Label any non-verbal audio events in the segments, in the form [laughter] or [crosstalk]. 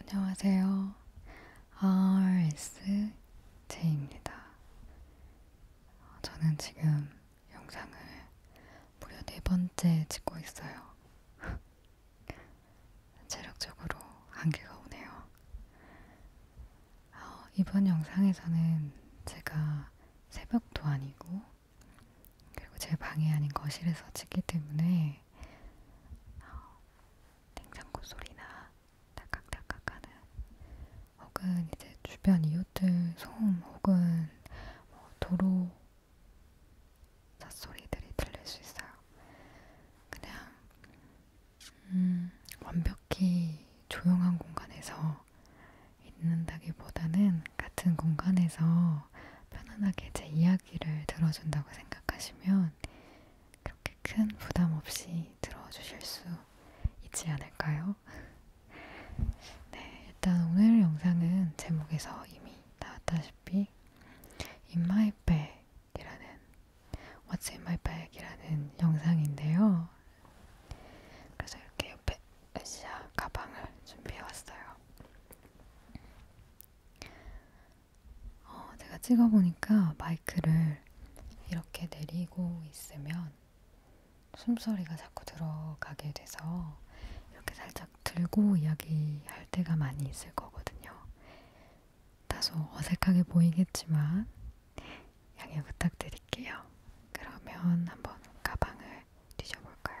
안녕하세요. RSJ입니다. 저는 지금 영상을 무려 네 번째 찍고 있어요. [laughs] 체력적으로 한계가 오네요. 어, 이번 영상에서는 제가 새벽도 아니고 그리고 제 방이 아닌 거실에서 찍기 때문에 어, 냉장고 소리나 딱딱딱딱하는 혹은 이제 주변 이웃들 소음 혹은 뭐 도로 잣소리들이 들릴 수 있어요. 그냥 음, 완벽히 조용한 공간에서 있는다기보다는 같은 공간에서 편안하게 제 이야기를 들어준다고 생각하시면 그렇게 큰 부담 없이 들어주실 수 있지 않을까요? 네, 일단 오늘 영상은 제목에서 이미 나왔다시피 In My Bag이라는 What's In My Bag이라는 영상인데요. 그래서 이렇게 옆에 으쌰 가방을 준비해왔어요. 어, 제가 찍어보니까 마이크를 이렇게 내리고 있으면 숨소리가 자꾸 들어가게 돼서 이렇게 살짝 들고 이야기할 때가 많이 있을 거거든요. 다소 어색하게 보이겠지만 양해 부탁드릴게요. 그러면 한번 가방을 잘 뒤져볼까요?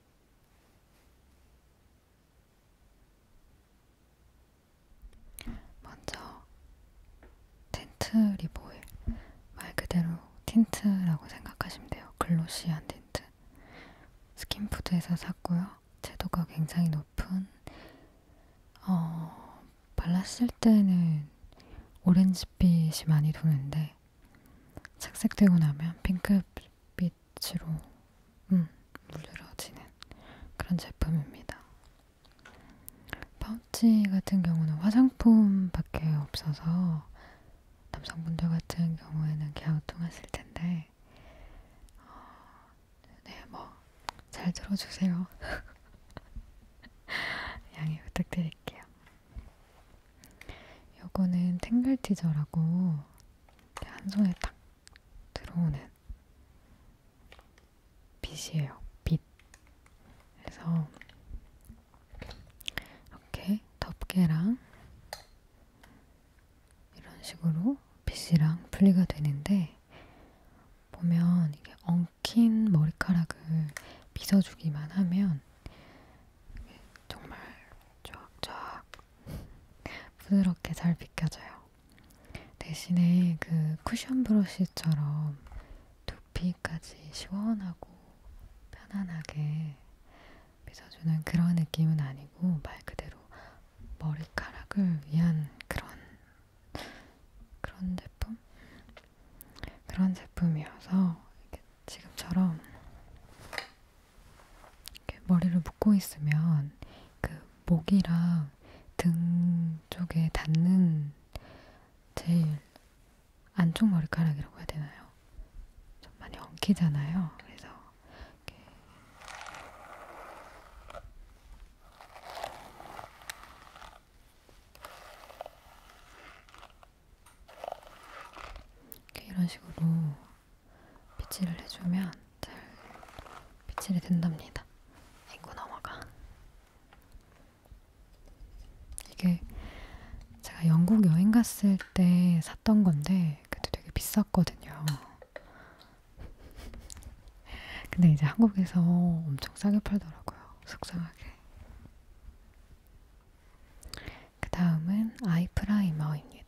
먼저 틴트 리보일 말 그대로 틴트라고 생각하시면 돼요. 글로시한 틴트 스킨푸드에서 샀고요. 채도가 굉장히 높은 어, 발랐을 때는 오렌지빛이 많이 도는데 착색되고 나면 핑크빛으로 음, 물들어지는 그런 제품입니다. 파우치 같은 경우는 화장품밖에 없어서 남성분들 같은 경우에는 갸우뚱하실 텐데 어, 네뭐 잘 들어주세요. [laughs] 양해 부탁드릴게요. 요거는 탱글티저라고 한 손에 딱 들어오는 빛이에요. 빛. 그래서 이렇게 덮개랑 이런 식으로 빛이랑 분리가 되는데 보면 이게 엉킨 머리카락을 빗어주기만 하면 정말 쫙쫙 부드럽게 잘 비껴져요. 대신에 그 쿠션 브러쉬처럼 두피까지 시원하고 편안하게 빗어주는 그런 느낌은 아니고 말 그대로 머리카락을 위한 그런 그런 제품? 그런 제품이어서 이렇게 지금처럼 이렇게 머리를 묶고 있으면 그 목이랑 등 쪽에 닿는 제일 안쪽 머리카락이라고 해야 되나요? 좀 많이 엉키잖아요. 그래서 이렇게 이렇게 이런 식으로 빗질을 해주면 잘 빗질이 된답니다. 인구 넘어가. 이게 제가 영국 여행 갔을 때 샀던 건데 그때 되게 비쌌거든요. [laughs] 근데 이제 한국에서 엄청 싸게 팔더라고요. 속상하게. 그 다음은 아이 프라이머입니다.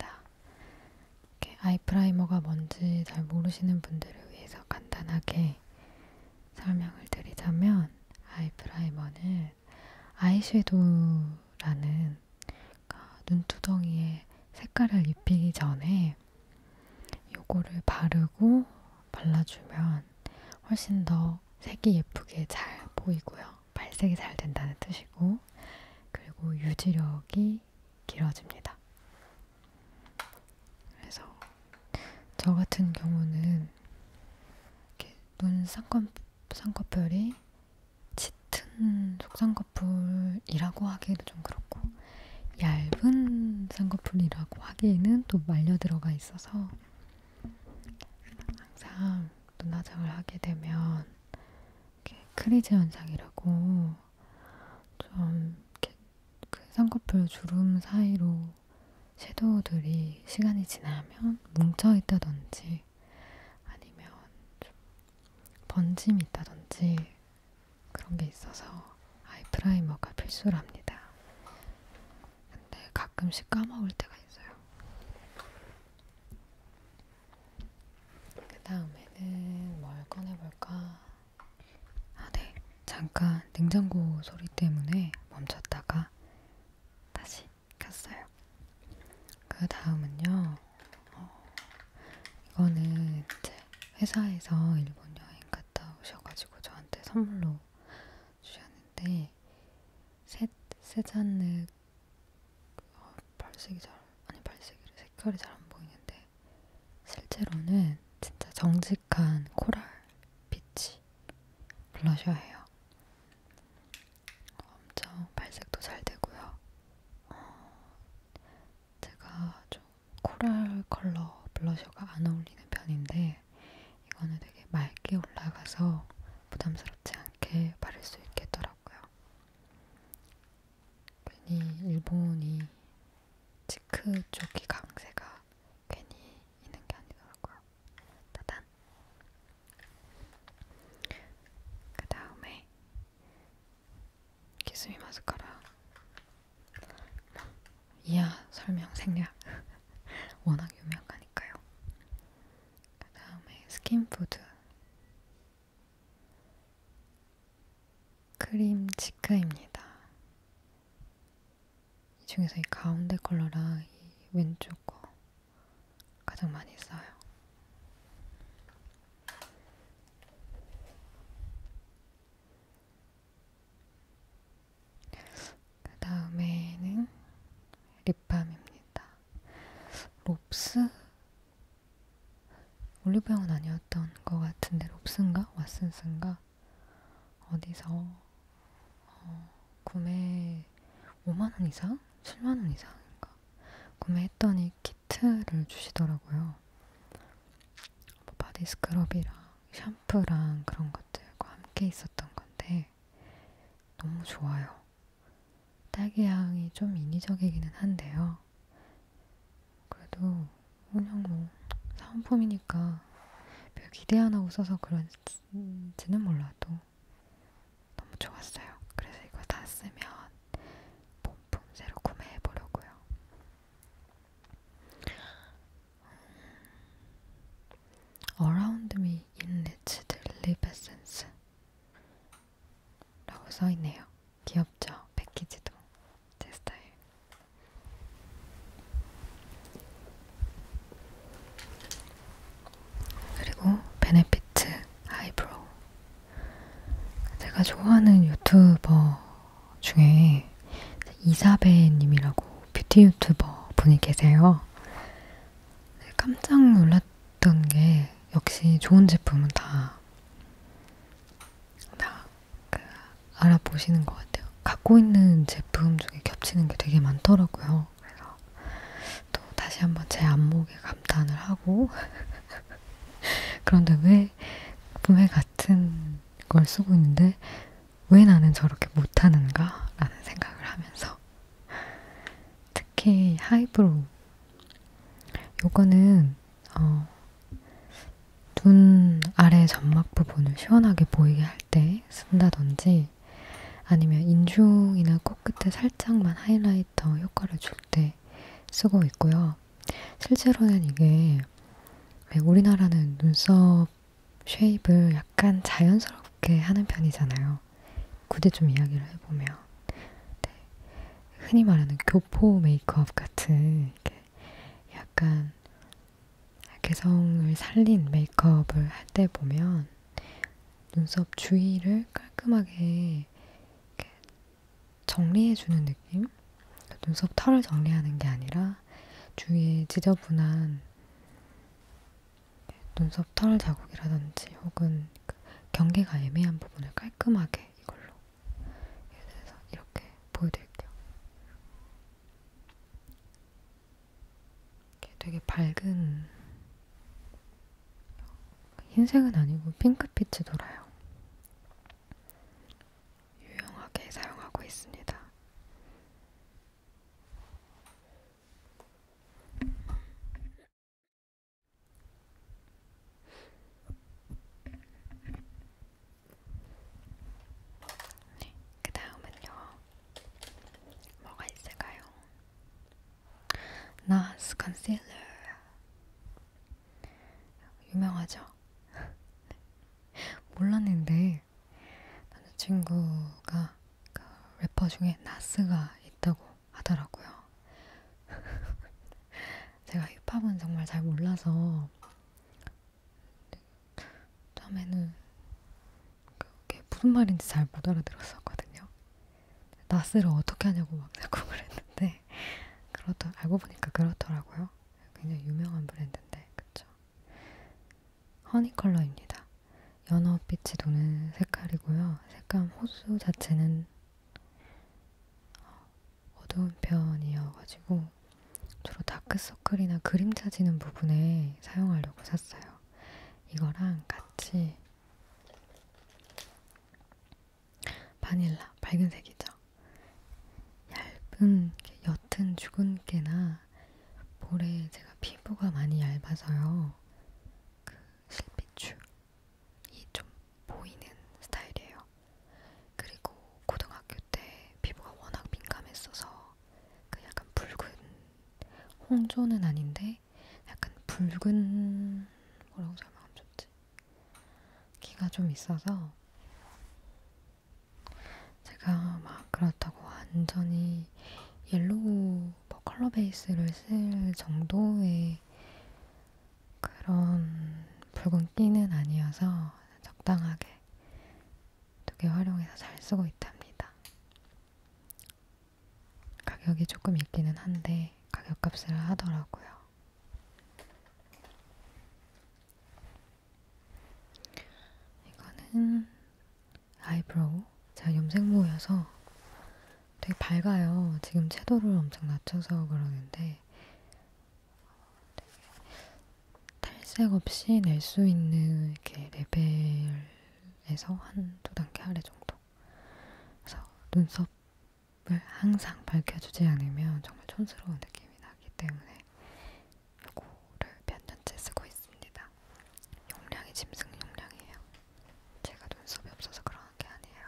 아이 프라이머가 뭔지 잘 모르시는 분들을 위해서 간단하게 설명을 드리자면 아이 프라이머는 아이섀도우라는 그러니까 눈두덩이에 색깔을 입히기 전에 요거를 바르고 발라주면 훨씬 더 색이 예쁘게 잘 보이고요. 발색이 잘 된다는 뜻이고, 그리고 유지력이 길어집니다. 그래서 저 같은 경우는 이렇게 눈 쌍꺼, 쌍꺼풀이 짙은 속쌍꺼풀이라고 하기에도 좀 그렇고 얇은 쌍꺼풀이라고 하기에는 또 말려 들어가 있어서 항상 어떤 화장을 하게 되면 크리즈 현상이라고 좀 이렇게 그 쌍꺼풀 주름 사이로 섀도우들이 시간이 지나면 뭉쳐 있다든지 아니면 좀 번짐이 있다든지 그런 게 있어서 아이 프라이머가 필수랍니다. 근데 가끔씩 까먹을 때가 있어요. 그 다음에는 뭘 꺼내볼까? 아, 네. 잠깐 냉장고 소리 때문에 멈췄다가 다시 켰어요. 그 다음은요. 어, 이거는 이제 회사에서 일본 여행 갔다 오셔가지고 저한테 선물로 주셨는데 있는데 셋, 세잔느 어, 발색이 잘 아니 발색이래 색깔이 잘 안 보이는데 실제로는 진짜 정직한 코랄 빛이 블러셔예요. 엄청 발색도 잘 되고요. 어, 제가 좀 코랄 컬러 블러셔가 안 어울리는 편인데 있는데 이거는 되게 맑게 올라가서 부담스럽지 않게 바를 수 있겠더라고요. 괜히 일본이 치크 쪽이 강세가 괜히 있는 게 아니더라고요. 따단! 그 다음에 키스미 마스카라 이하 설명 생략 [laughs] 워낙 유명하니까요. 그 다음에 스킨푸드 크림 치크입니다. 이 중에서 이 가운데 컬러랑 이 왼쪽 거 가장 많이 써요. 그 다음에는 립밤입니다. 롭스? 올리브영은 아니었던 것 같은데 롭스인가? 왓슨스인가? 어디서 어, 구매 5만원 이상? 7만원 이상인가? 구매했더니 키트를 주시더라고요. 뭐 바디 스크럽이랑 샴푸랑 그런 것들과 함께 있었던 건데 있는데 너무 좋아요. 딸기 향이 좀 인위적이기는 한데요. 그래도 그냥 뭐 사은품이니까 별 기대 안 하고 써서 그런지는 몰라도 너무 좋았어요. 그래서 이거 다 쓰면 본품 새로 구매해 보려고요. Around me in its deadly essence 라고 써있네요. 귀엽죠? 패키지도 제 스타일. 그리고 베네피트 아이브로우 제가 좋아하는 유튜버 중에 이사벨님이라고 뷰티 유튜버 분이 계세요. 깜짝 놀랐던 게 역시 좋은 제품은 다, 다그 알아보시는 것 같아요. 갖고 있는 제품 중에 겹치는 게 되게 많더라고요. 그래서 또 다시 한번 제 안목에 감탄을 하고 [laughs] 그런데 왜 분명 같은 걸 쓰고 있는데 왜 나는 저렇게 못하는가? 라는 생각을 하면서 특히 하이브로우 요거는 어, 눈 아래 점막 부분을 시원하게 보이게 할 때 쓴다든지 아니면 인중이나 코끝에 살짝만 하이라이터 효과를 줄 때 쓰고 있고요. 실제로는 이게 우리나라는 눈썹 쉐입을 약간 자연스럽게 하는 편이잖아요. 굳이 좀 이야기를 해보면 네. 흔히 말하는 교포 메이크업 같은 이렇게 약간 개성을 살린 메이크업을 할 때 보면 눈썹 주위를 깔끔하게 정리해주는 느낌? 눈썹 털을 정리하는 게 아니라 주위에 지저분한 눈썹 털 자국이라든지 혹은 그 경계가 애매한 부분을 깔끔하게 이걸로 예를 들어서 이렇게 보여드릴게요. 되게 밝은 흰색은 아니고 핑크빛이 돌아요. 유용하게 사용하고 있습니다. 네, 그 다음은요. 뭐가 있을까요? 나스 컨실러 유명하죠? [laughs] 네. 몰랐는데 남자친구가 그 래퍼 중에 나스가 있다고 하더라고요. [laughs] 제가 힙합은 정말 잘 몰라서 처음에는 그게 무슨 말인지 잘 못 알아들었었거든요. 나스를 어떻게 하냐고 막 자꾸 [laughs] 그랬는데 그렇더 알고 보니까 그렇더라고요. 굉장히 유명한 브랜드인데 그쵸? 허니 컬러입니다. 연어빛이 도는 색깔이고요. 색감 호수 자체는 어, 어두운 편이어가지고 주로 다크서클이나 그림 찾지는 부분에 사용하려고 샀어요. 이거랑 같이 바닐라, 밝은색이죠. 얇은 옅은 주근깨나 볼에 제가 피부가 많이 얇아서요. 그 실핏줄이 좀 보이는 스타일이에요. 그리고 고등학교 때 피부가 워낙 민감했어서 그 약간 붉은 홍조는 아닌데 약간 붉은 뭐라고 설명하면 좋지? 기가 좀 있어서 제가 막 그렇다고 완전히 옐로우 뭐 컬러 베이스를 쓸 정도의 그런 붉은 끼는 아니어서 적당하게 두 개 활용해서 잘 쓰고 있답니다. 가격이 조금 있기는 한데 가격값을 하더라고요. 이거는 아이브로우 제가 염색 모여서 되게 밝아요. 지금 채도를 엄청 낮춰서 그러는데 탈색 없이 낼 수 있는 이렇게 레벨에서 한 두 단계 아래 정도. 그래서 눈썹을 항상 밝혀주지 않으면 정말 촌스러운 느낌이 나기 때문에 고를 몇 년째 쓰고 있습니다. 용량이 짐승 용량이에요. 제가 눈썹이 없어서 그러는 게 아니에요.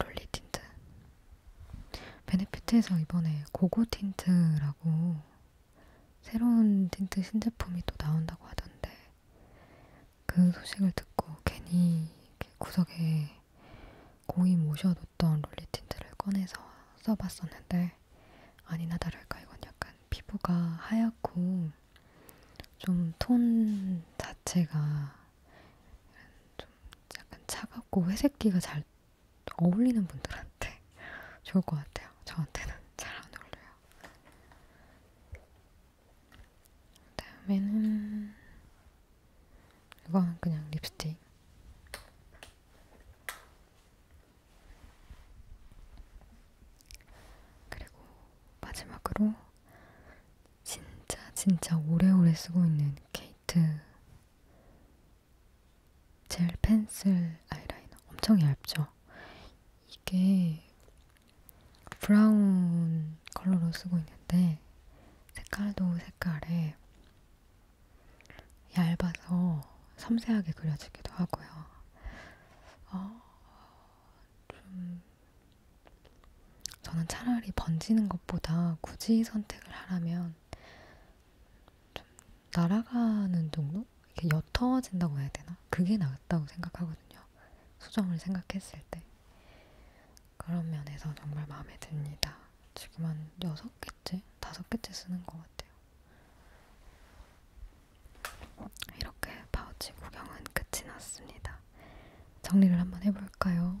롤리 틴트 베네피트에서 이번에 고고 틴트라고 새로운 틴트 신제품이 또 나온다고 하던데 그 소식을 듣고 괜히 구석에 고이 모셔도 어떤 롤리 틴트를 꺼내서 써봤었는데 아니나 다를까 이건 약간 피부가 하얗고 좀 톤 자체가 좀 약간 차갑고 회색기가 잘 어울리는 분들한테 [laughs] 좋을 것 같아요. 저한테는 [laughs] 잘 안 어울려요. 다음에는 이건 그냥 립스틱. 그리고 마지막으로 진짜 진짜 오래오래 쓰고 있는 케이트 젤 펜슬 아이라이너 엄청 얇죠? 이게 브라운 컬러로 쓰고 있는데 색깔도 색깔에 얇아서 섬세하게 그려지기도 하고요. 어, 좀 저는 차라리 번지는 것보다 굳이 선택을 하라면 좀 날아가는 정도? 이렇게 옅어진다고 해야 되나? 그게 낫다고 생각하거든요. 수정을 생각했을 때. 그런 면에서 정말 마음에 듭니다. 지금 한 6개째? 5개째 쓰는 것 같아요. 이렇게 파우치 구경은 끝이 났습니다. 정리를 한번 해볼까요?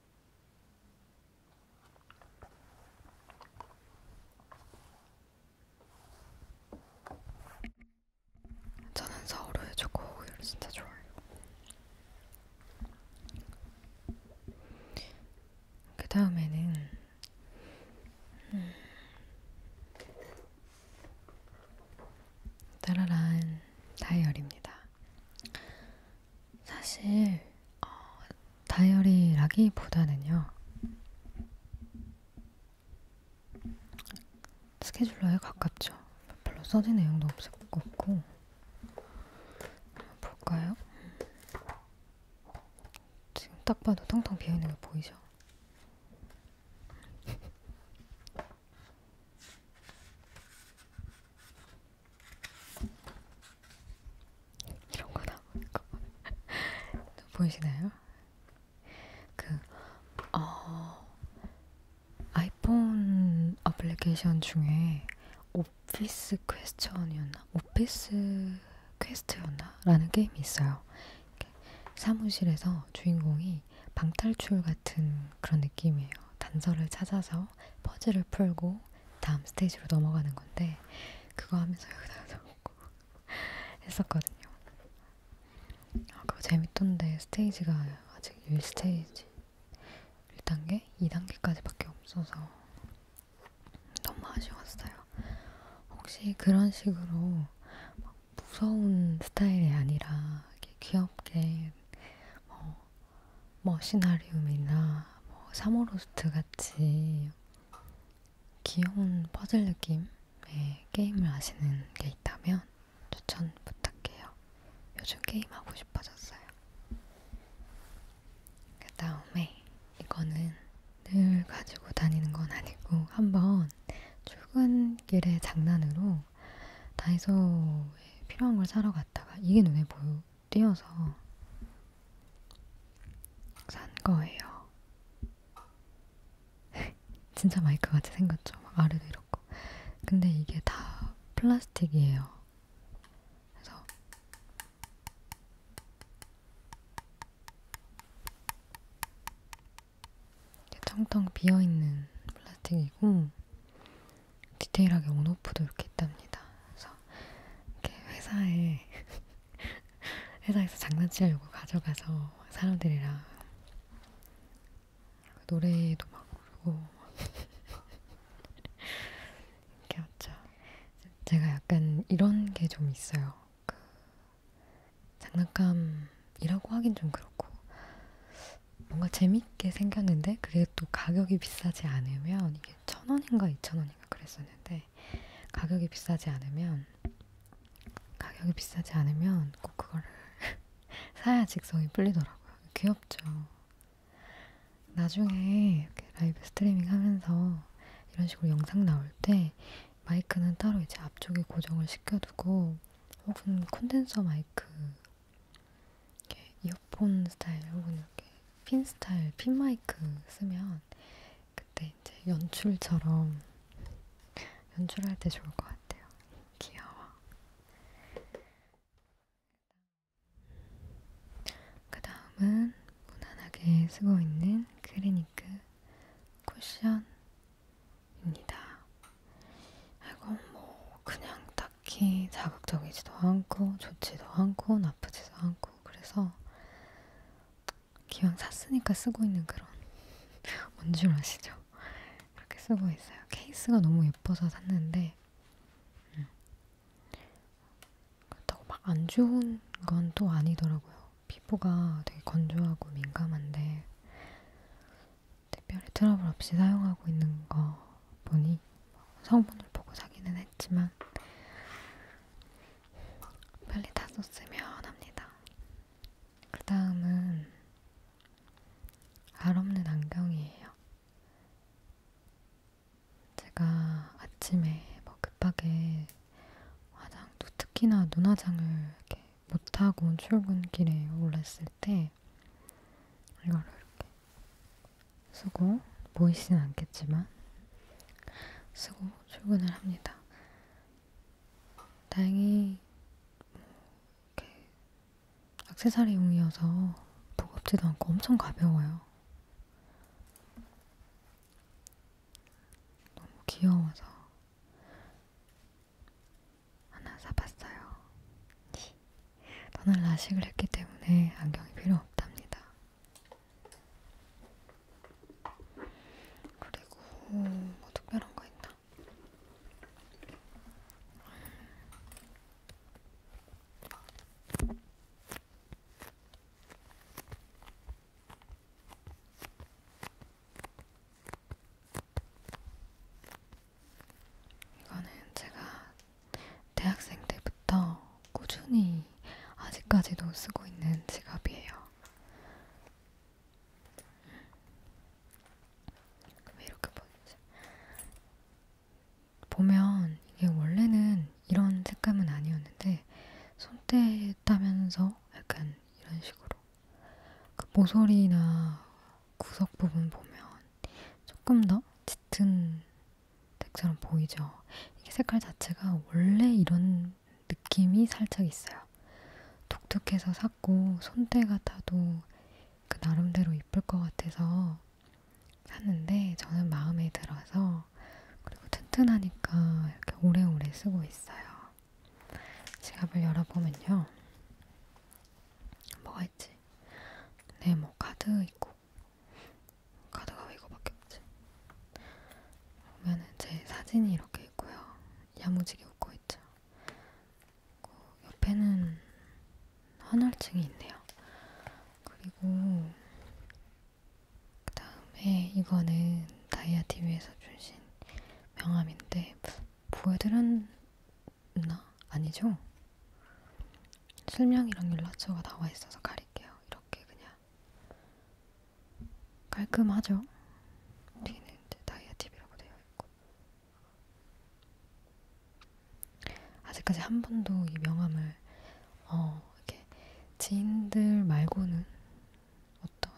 저는 서울의 초코우유를 진짜 좋아해요. 그 다음에는 음, 따라란 다이어리입니다. 사실 어, 다이어리라기보다는요. 스케줄러에 가깝죠. 별로 써진 내용도 없었고 볼까요? 지금 딱 봐도 텅텅 비어있는 게 보이죠? 이런 거 나오니까 [laughs] 보이시나요? 그 어, 아이폰 어플리케이션 중에 오피스 퀘스천이었나, 오피스 퀘스트였나라는 게임이 있어요. 사무실에서 주인공이 방탈출 같은 그런 느낌이에요. 단서를 찾아서 하면서 퍼즐을 풀고 다음 스테이지로 넘어가는 건데 그거 하면서 여기다 놓고 [laughs] 했었거든요. 아, 그거 재밌던데 스테이지가 아직 1스테이지 1단계? 2단계까지밖에 없어서 너무 아쉬웠어요. 혹시 그런 식으로 막 무서운 스타일이 아니라 귀엽게 어, 뭐 시나리움이나 뭐 사모로스트 같이 귀여운 퍼즐 느낌의 게임을 아시는 게 있다면 추천 부탁해요. 요즘 게임하고 싶어졌어요. 그 다음에 이거는 늘 가지고 다니는 건 아니고 한번 출근길에 장난으로 다이소에 필요한 걸 사러 갔다가 이게 눈에 보여 띄어서 산 거예요. [laughs] 진짜 마이크 같이 생겼죠. 막 아래도 이렇고. 근데 이게 다 플라스틱이에요. 그래서 이게 텅텅 비어 있는 플라스틱이고 디테일하게 온오프도 이렇게 있답니다. 그래서 이렇게 회사에 [laughs] 회사에서 장난치려고 가져가서 사람들이랑 노래도 막 부르고 [laughs] 이렇게 왔죠. 제가 약간 이런 게 좀 있어요. 그 장난감이라고 하긴 좀 그렇고 뭔가 재밌게 생겼는데 그게 또 가격이 비싸지 않으면 이게 천 원인가 이천 원인가 그랬었는데 가격이 비싸지 않으면 가격이 비싸지 않으면 꼭 그거를 [laughs] 사야 직성이 풀리더라고요. 귀엽죠. 나중에 이렇게 라이브 스트리밍 하면서 이런 식으로 영상 나올 때 마이크는 따로 이제 앞쪽에 고정을 시켜두고 혹은 콘덴서 마이크 이렇게 이어폰 스타일 혹은 이렇게 핀 스타일 핀 마이크 쓰면 그때 이제 연출처럼 연출할 때 좋을 것 같아요. 귀여워. 그 다음은 무난하게 쓰고 있는 크리니크 쿠션입니다. 이건 뭐 그냥 딱히 자극적이지도 않고 좋지도 않고 나쁘지도 않고 그래서 기왕 샀으니까 쓰고 있는 그런 [laughs] 뭔 줄 아시죠? 이렇게 쓰고 있어요. 케이스가 너무 예뻐서 샀는데 음. 그렇다고 막 안 좋은 건 또 아니더라고요. 피부가 되게 건조하고 민감한데 특별히 트러블 없이 사용하고 있는 거 보니 성분을 보고 사기는 했지만 빨리 다 썼으면 합니다. 그 다음은 알 없는 안경이에요. 제가 아침에 뭐 급하게 화장, 특히나 눈화장을 이렇게 못하고 출근길에 올랐을 때 이렇게 이걸로 이렇게 쓰고 보이진 않겠지만 쓰고 출근을 합니다. 다행히 뭐 이렇게 액세서리용이어서 무겁지도 않고 엄청 가벼워요. 너무 귀여워서 하나 사봤어요. 저는 네. 라식을 했기 때문에 안경이 필요 없답니다. 그리고 뭐 특별한 거 있나? 이거는 제가 대학생 때부터 꾸준히 아직까지도 쓰고 있는 지갑이에요. 왜 이렇게 보이지? 보면 이게 원래는 이런 색감은 아니었는데 손때 따면서 약간 이런 식으로 그 모서리나 구석 부분 보면 조금 더 짙은 색처럼 보이죠. 이게 색깔 자체가 원래 이런 느낌이 살짝 있어요. 독특해서 샀고 손때 같아도 그 나름대로 이쁠 것 같아서 샀는데 저는 마음에 들어서 그리고 튼튼하니까 이렇게 오래오래 쓰고 있어요. 지갑을 열어보면요. 뭐가 있지? 있지. 네, 뭐 카드 있고 카드가 이거밖에 없지. 보면은 제 사진이 이렇게 있고요. 야무지게 웃고 있죠. 그리고 옆에는 헌혈증이 있네요. 그리고 그 다음에 이거는 다이아 TV에서 주신 명함인데 보여드렸 있나? 아니죠? 실명이랑 연락처가 나와 있어서 가릴게요. 이렇게 그냥 깔끔하죠? 뒤는 이제 다이아 TV라고 되어 있고 아직까지 한 번도 이 명함을 어 이렇게 지인들 말고는 어떤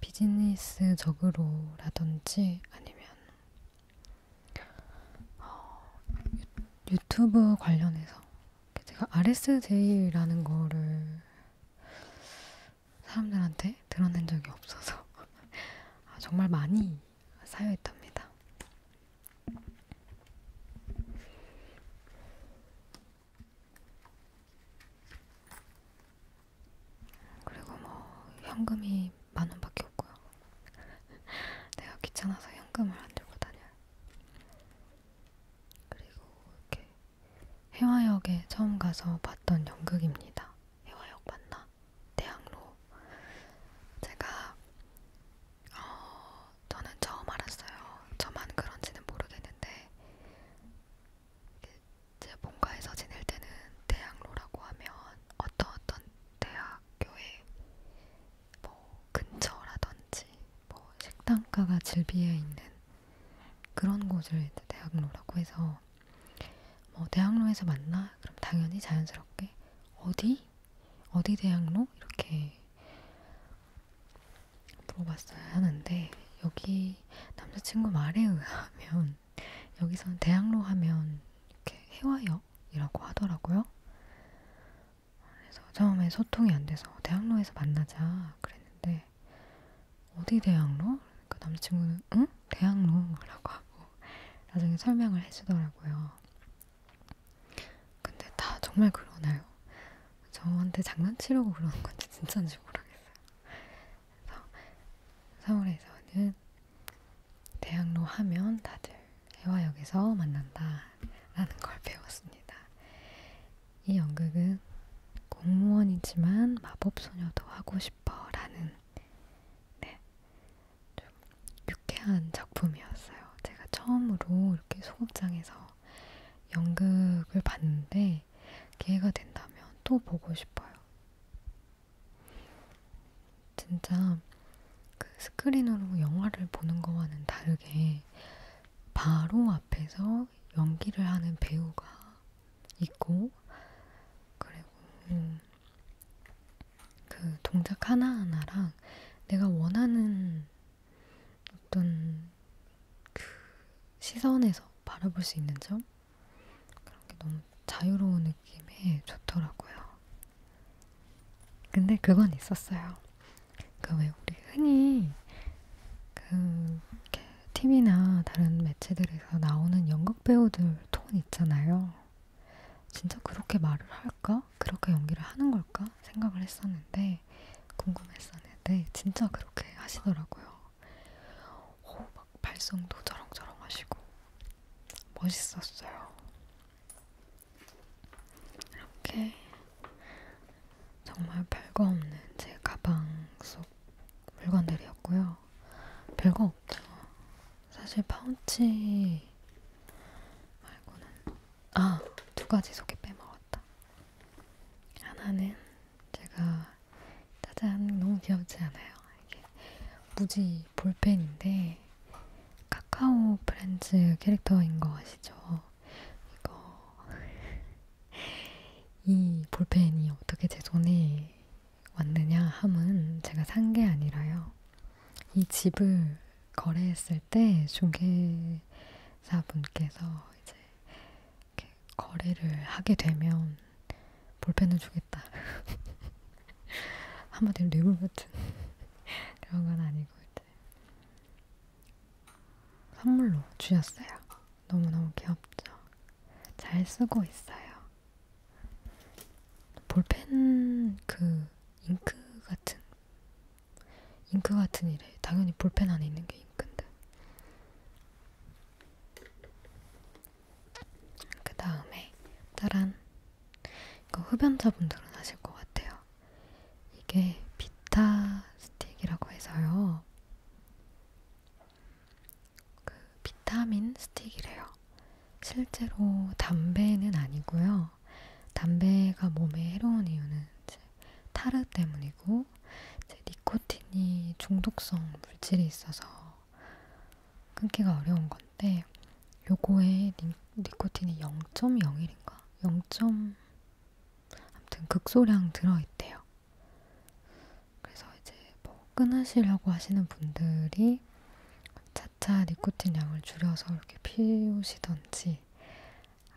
비즈니스적으로라든지 아니면 어, 유, 유튜브 관련해서 제가 RSJ라는 거를 사람들한테 드러낸 적이 없어서 [laughs] 아, 정말 많이 사용했답니다. 그리고 뭐 현금이 만 원밖에 없고요. [laughs] 내가 귀찮아서 현금을 안 들고 다녀요. 그리고 이렇게 해화역에 처음 가서 봤던 연극입니다. 해화역 맞나? 대학로. 제가 어, 저는 처음 알았어요. 저만 그런지는 모르겠는데 제 본가에서 지낼 때는 대학로라고 하면 어떤 어떤 대학교에 뭐 근처라든지 뭐 식당가가 즐비해 있는 그런 곳을 대학로라고 해서 뭐 대학로에서 만나? 그럼 당연히 자연스럽게 어디? 어디 대학로? 이렇게 물어봤어야 하는데 여기 남자친구 말에 의하면 여기서는 대학로 하면 이렇게 해와역이라고 하더라고요. 그래서 처음에 소통이 안 돼서 대학로에서 만나자 그랬는데 어디 대학로? 그러니까 남자친구는 응? 대학로라고 하고 나중에 설명을 해주더라고요. 근데 다 정말 그러나요? 저한테 장난치려고 그러는 건지 진짜인지 모르겠어요. 그래서 서울에서는 대학로 하면 다들 해화역에서 만난다라는 걸 배웠습니다. 이 연극은 공무원이지만 마법소녀도 하고 싶어라는 네, 좀 유쾌한 작품이었어요. 제가 처음으로 이렇게 소극장에서 연극을 봤는데 기회가 된다면 또 보고 싶어요. 진짜 그 스크린으로 영화를 보는 거와는 다르게 바로 앞에서 연기를 하는 배우가 있고 그리고 그 동작 하나하나랑 내가 원하는 어떤 그 시선에서 바라볼 수 있는 점 그런 게 너무 자유로운 느낌이 좋더라고요. 근데 그건 있었어요. 그 왜 우리 흔히 그 이렇게 TV나 다른 매체들에서 나오는 연극 배우들 톤 있잖아요. 진짜 그렇게 말을 할까? 그렇게 연기를 하는 걸까? 생각을 했었는데 궁금했었는데 진짜 그렇게 하시더라고요. 오, 막 발성도 저렁저렁 하시고 멋있었어요. 이렇게 정말 별거 없는 제 가방 속 물건들이었고요. 별거 없죠. 사실 파운치 말고는 아, 두 가지 속에 빼먹었다. 하나는 제가 짜잔 너무 귀엽지 않아요? 이게 무지 볼펜인데 카카오 프렌즈 캐릭터인 거 아시죠? 이거 [laughs] 이 볼펜이 어떻게 제 손에 왔느냐 함은 제가 산 게 아니라요. 이 집을 거래했을 때 중개사분께서 이제 거래를 하게 되면 볼펜을 주겠다. [laughs] 한마디로 뇌물 같은 [laughs] 그런 건 아니고 이제 선물로 주셨어요. 너무너무 귀엽죠? 잘 쓰고 있어요. 볼펜 그 잉크 같은 잉크 같은 일에 당연히 볼펜 안에 있는 게 잉크인데 그 다음에 따란 이거 흡연자분들은 아실 것 같아요. 이게 비타 스틱이라고 해서요. 그 비타민 스틱이래요. 실제로 담배는 아니고요. 담배가 몸에 해로운 이유는 이제 타르 때문이고 이제 니코틴이 중독성 물질이 있어서 끊기가 어려운 건데 요거에 니, 니코틴이 0.01인가? 0. 아무튼 극소량 들어있대요. 그래서 이제 뭐 끊으시려고 하시는 분들이 차차 니코틴 양을 줄여서 이렇게 피우시던지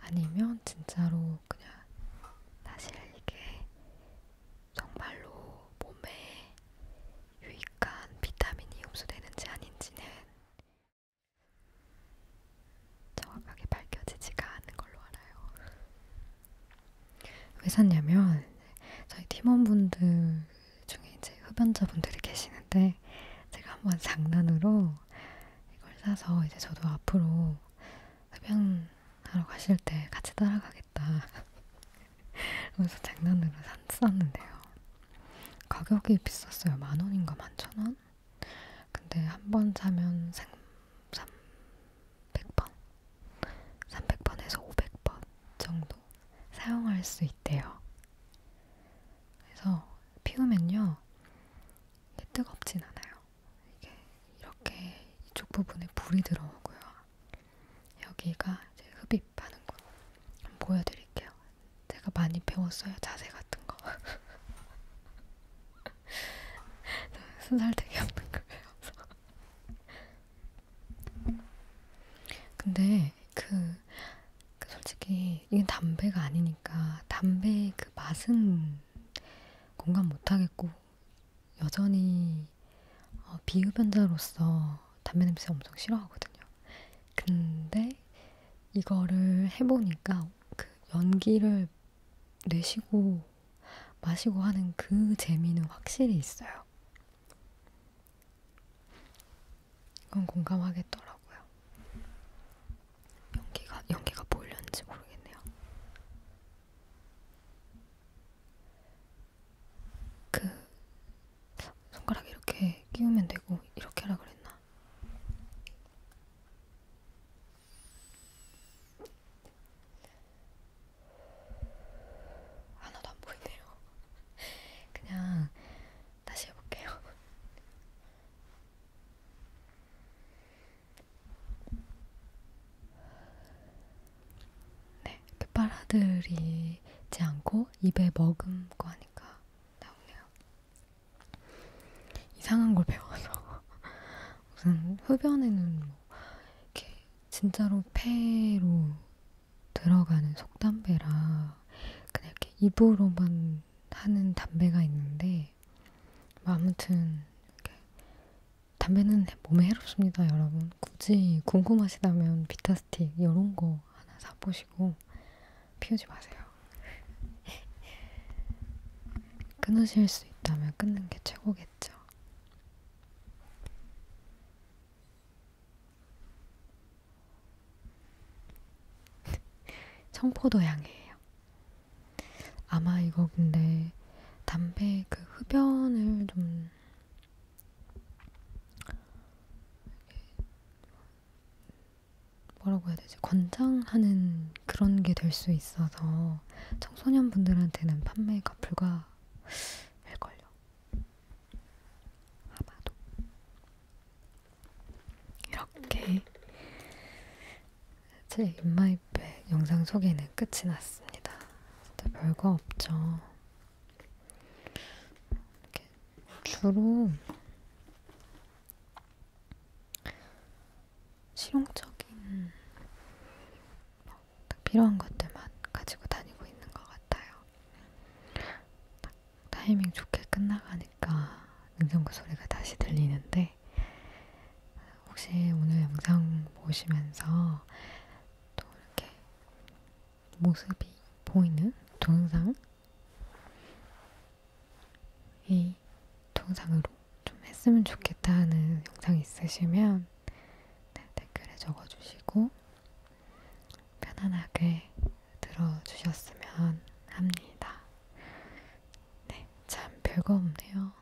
아니면 진짜로 그냥 사실 이게 정말로 몸에 유익한 비타민이 흡수되는지 아닌지는 정확하게 밝혀지지가 않은 걸로 알아요. 왜 샀냐면 저희 팀원분들 중에 이제 흡연자분들이 계시는데 제가 한번 장난으로 이걸 사서 이제 저도 앞으로 흡연하러 가실 때 같이 따라가겠다 그래서 장난으로 샀었는데요. 가격이 비쌌어요. 만 원인가 만 천 원? 근데 한 번 사면 생, 300번? 300번에서 500번 정도 사용할 수 있대요. 그래서 피우면요. 뜨겁진 않아요. 이게 이렇게 이쪽 부분에 불이 들어오고요. 여기가 이제 흡입하는 곳 한번 보여드릴게요. 제가 많이 배웠어요. 자세 같은 거. [laughs] 순살 되게 없는 거예요. 근데 그, 그 솔직히 이게 담배가 아니니까 담배의 그 맛은 공감 못 하겠고 여전히 어, 비흡연자로서 담배 냄새 엄청 싫어하거든요. 근데 이거를 해보니까 그 연기를 내쉬고 마시고 하는 그 재미는 확실히 있어요. 이건 공감하겠더라고요. 연기가 연기가 보일는지 모르겠네요. 그 손가락 이렇게 끼우면 되고 이렇게 하라 그랬나? 하나도 안 보이네요. [laughs] 그냥 다시 해볼게요. 네, 이렇게 그 빨아들이지 않고 입에 머금고 하니까 나오네요. 이상한 걸 배워서 [laughs] 무슨 흡연에는 뭐 이렇게 진짜로 폐로 들어가는 속담배라 그냥 이렇게 입으로만 하는 담배가 있는데 뭐 아무튼 이렇게 담배는 몸에 해롭습니다, 여러분. 굳이 궁금하시다면 비타스틱 이런 거 하나 사보시고 피우지 마세요. [laughs] 끊으실 수 있다면 끊는 게 최고겠죠. [laughs] 청포도 향이에요. 아마 이거 근데 담배 그 흡연을 좀 뭐라고 해야 되지? 권장하는 그런 게 될 수 있어서 청소년 분들한테는 판매가 불가할걸요. 아마도. 이렇게 제 인마이백 영상 소개는 끝이 났습니다. 근데 별거 없죠. 이렇게 주로 실용적인 뭐딱 필요한 것들만 가지고 다니고 있는 것 같아요. 딱 타이밍 좋게 끝나가니까 냉장고 소리가 다시 들리는데 혹시 오늘 영상 보시면서 또 이렇게 모습이 보이는 동영상 이 동상으로 좀 했으면 좋겠다는 영상 있으시면 네, 댓글에 적어주시고 편안하게 들어주셨으면 합니다. 네, 참 별거 없네요.